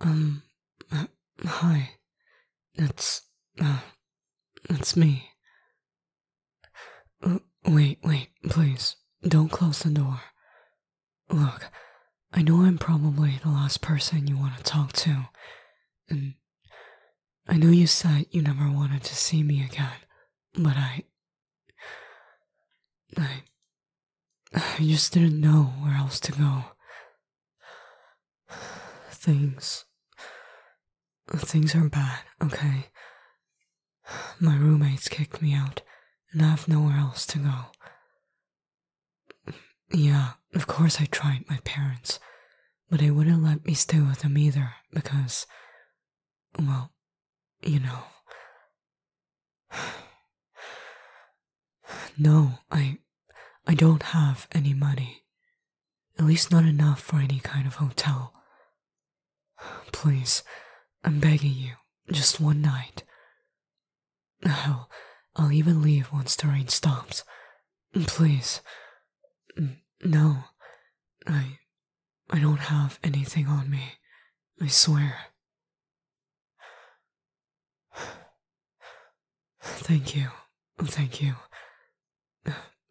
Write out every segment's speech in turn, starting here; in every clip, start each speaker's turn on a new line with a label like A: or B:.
A: Um, uh, hi. That's, uh, that's me. Uh, wait, wait, please. Don't close the door. Look, I know I'm probably the last person you want to talk to, and I know you said you never wanted to see me again, but I. I I just didn't know where else to go. Things. Things are bad, okay? My roommates kicked me out, and I have nowhere else to go. Yeah, of course I tried my parents, but they wouldn't let me stay with them either because, well, you know. No, I I don't have any money. At least not enough for any kind of hotel. Please, I'm begging you, just one night. Hell, I'll even leave once the rain stops. Please. No, I I don't have anything on me. I swear. Thank you. Thank you.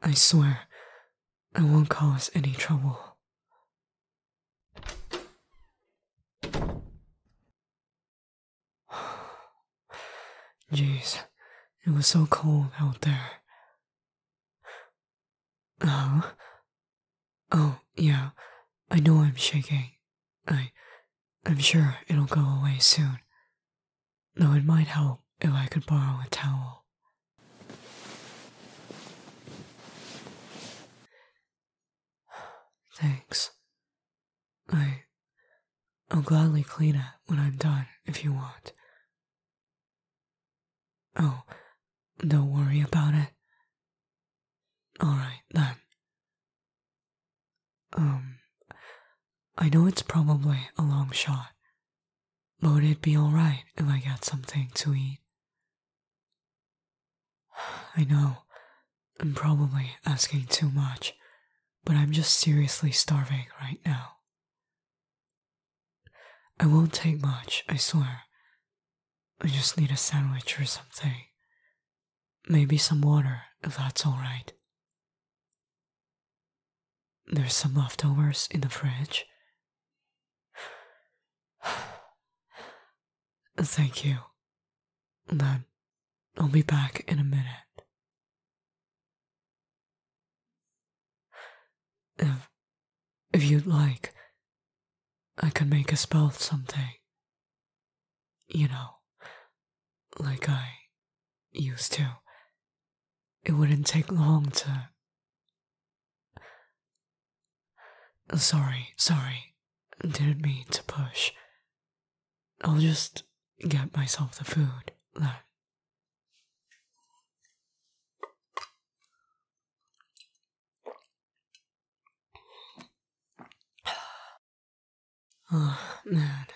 A: I swear, I won't cause any trouble. Jeez, it was so cold out there. Oh, Oh, yeah, I know I'm shaking. I, I'm sure it'll go away soon. Though it might help if I could borrow a towel. Thanks. I, I'll gladly clean it when I'm done if you want. Oh, don't worry about it. Alright then. Um, I know it's probably a long shot, but would it be alright if I got something to eat? I know, I'm probably asking too much, but I'm just seriously starving right now. I won't take much, I swear. I just need a sandwich or something. Maybe some water, if that's alright. There's some leftovers in the fridge. Thank you. Then I'll be back in a minute. If, if you'd like, I can make a spell something you know, like I used to. It wouldn't take long to. Oh, sorry, sorry, didn't mean to push. I'll just get myself the food then. Oh, man.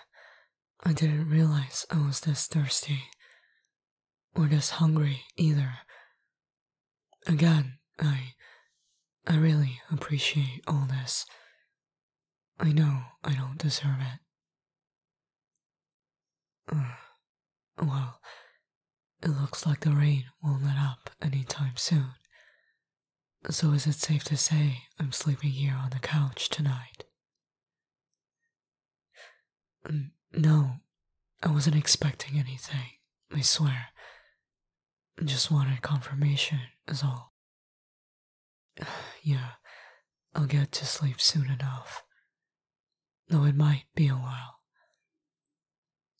A: I didn't realize I was this thirsty. Or this hungry, either. Again, I... I really appreciate all this. I know I don't deserve it. well, it looks like the rain won't let up anytime soon. So is it safe to say I'm sleeping here on the couch tonight? Mm, no, I wasn't expecting anything, I swear. Just wanted confirmation, is all. Yeah, I'll get to sleep soon enough. Though it might be a while.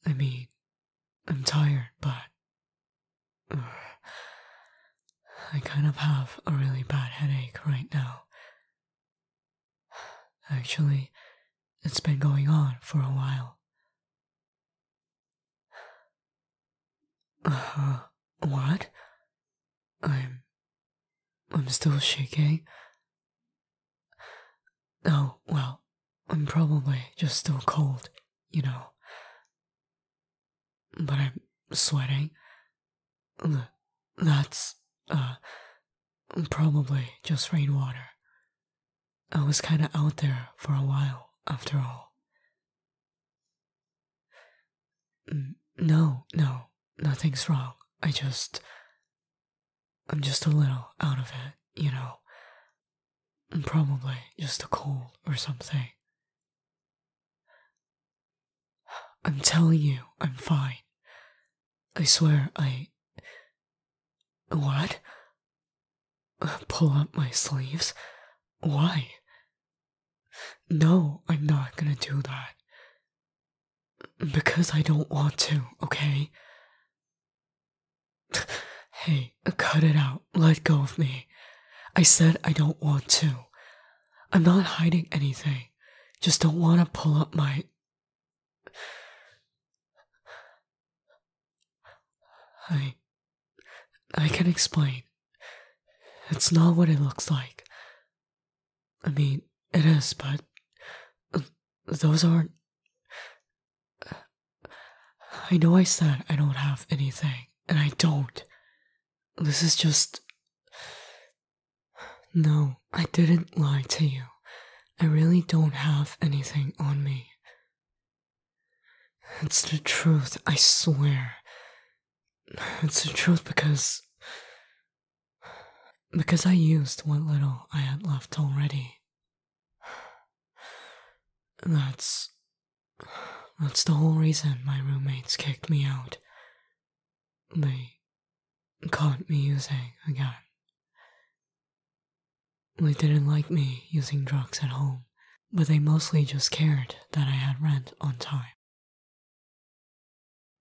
A: I mean, I'm tired, but I kind of have a really bad headache right now. Actually, it's been going on for a while. Uh, huh. what? I'm. I'm still shaking. Oh, well, I'm probably just still cold you know. But I'm sweating. That's, uh, probably just rainwater. I was kinda out there for a while, after all. No, no, nothing's wrong. I just. I'm just a little out of it, you know probably just a cold or something. I'm telling you, I'm fine. I swear, I. What? Pull up my sleeves? Why? No, I'm not gonna do that. Because I don't want to, okay? Hey, cut it out. Let go of me. I said I don't want to. I'm not hiding anything. Just don't want to pull up my. I. I can explain. It's not what it looks like. I mean, it is, but. Those aren't. I know I said I don't have anything, and I don't. This is just. No, I didn't lie to you. I really don't have anything on me. It's the truth, I swear. It's the truth because. Because I used what little I had left already. That's that's the whole reason my roommates kicked me out. They caught me using again. They didn't like me using drugs at home, but they mostly just cared that I had rent on time.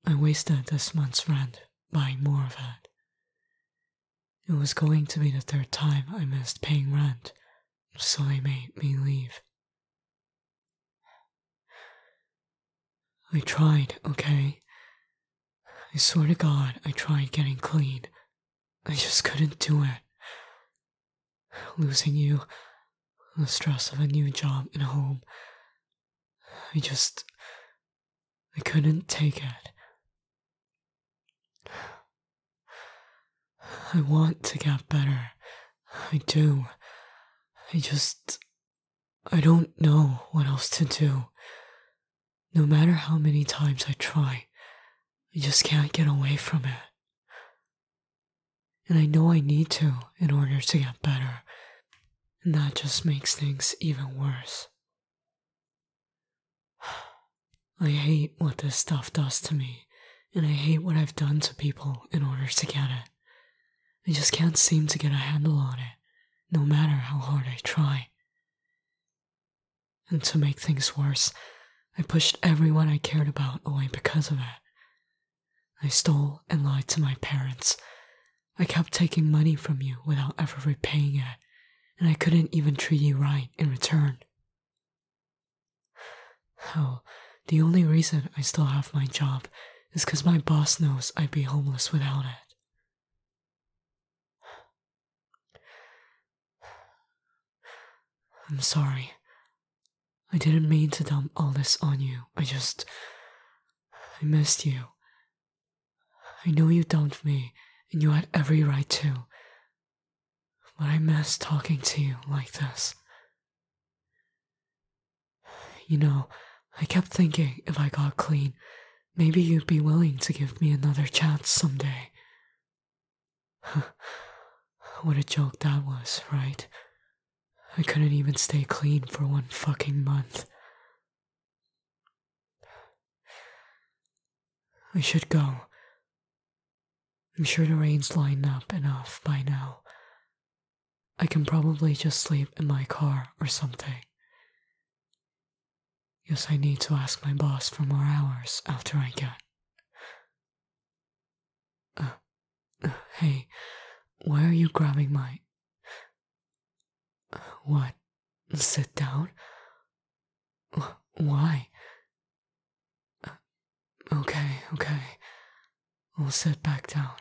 A: I wasted this month's rent buying more of it. It was going to be the third time I missed paying rent so they made me leave. I tried, okay? I swear to God, I tried getting clean. I just couldn't do it. Losing you, the stress of a new job and home. I just. I couldn't take it. I want to get better. I do. I just. I don't know what else to do. No matter how many times I try, I just can't get away from it. And I know I need to in order to get better. And that just makes things even worse. I hate what this stuff does to me, and I hate what I've done to people in order to get it. I just can't seem to get a handle on it, no matter how hard I try. And to make things worse, I pushed everyone I cared about away because of it. I stole and lied to my parents. I kept taking money from you without ever repaying it, and I couldn't even treat you right in return. Oh, the only reason I still have my job is because my boss knows I'd be homeless without it. I'm sorry. I didn't mean to dump all this on you. I just. I missed you. I know you dumped me, and you had every right to. But I miss talking to you like this. You know, I kept thinking if I got clean, maybe you'd be willing to give me another chance someday. what a joke that was, right? I couldn't even stay clean for one fucking month. We should go. I'm sure the rain's lined up enough by now. I can probably just sleep in my car or something. Yes, I need to ask my boss for more hours after I get. Uh, uh, hey, why are you grabbing my. what? Sit down? Why? Okay, okay. We'll sit back down.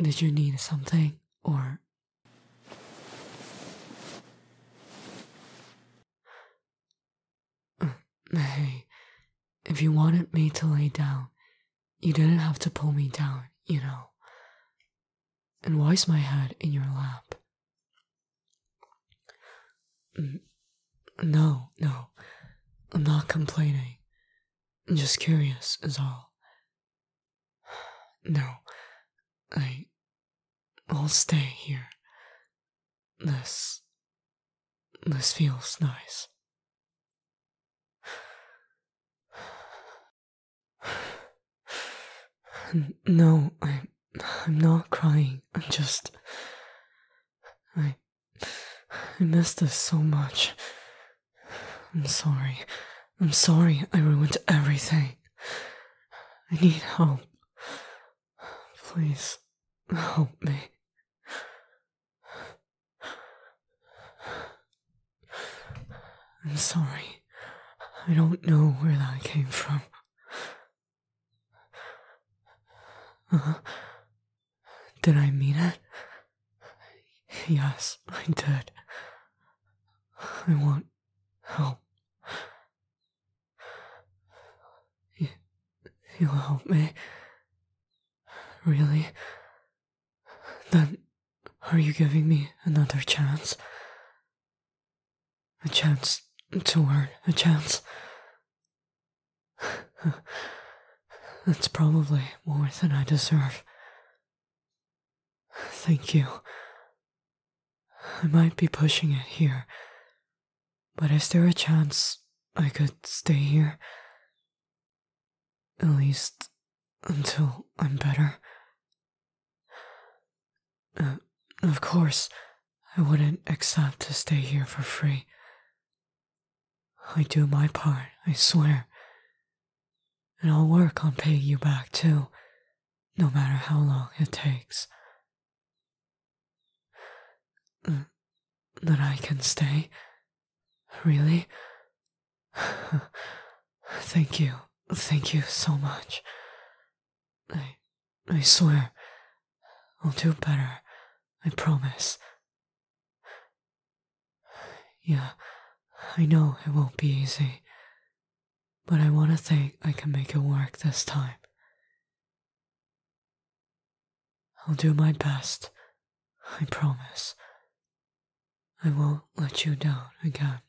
A: Did you need something, or. Hey, if you wanted me to lay down, you didn't have to pull me down, you know. And why's my head in your lap? No, no, I'm not complaining. I'm just curious, is all. No, I. I'll stay here. This. This feels nice. No, i I'm not crying. I'm just. I. I missed this so much. I'm sorry. I'm sorry I ruined everything. I need help. Please, help me. I'm sorry. I don't know where that came from. did I mean it? Yes, I did. I want help. You, you'll help me? Really? Then, are you giving me another chance? A chance to earn a chance. That's probably more than I deserve. Thank you. I might be pushing it here, but is there a chance I could stay here? At least until I'm better. Uh, of course, I wouldn't accept to stay here for free. I do my part, I swear. And I'll work on paying you back too, no matter how long it takes. Uh, that I can stay? Really? thank you, thank you so much. I, I swear, I'll do better. I promise. Yeah, I know it won't be easy, but I want to think I can make it work this time. I'll do my best. I promise. I won't let you down again.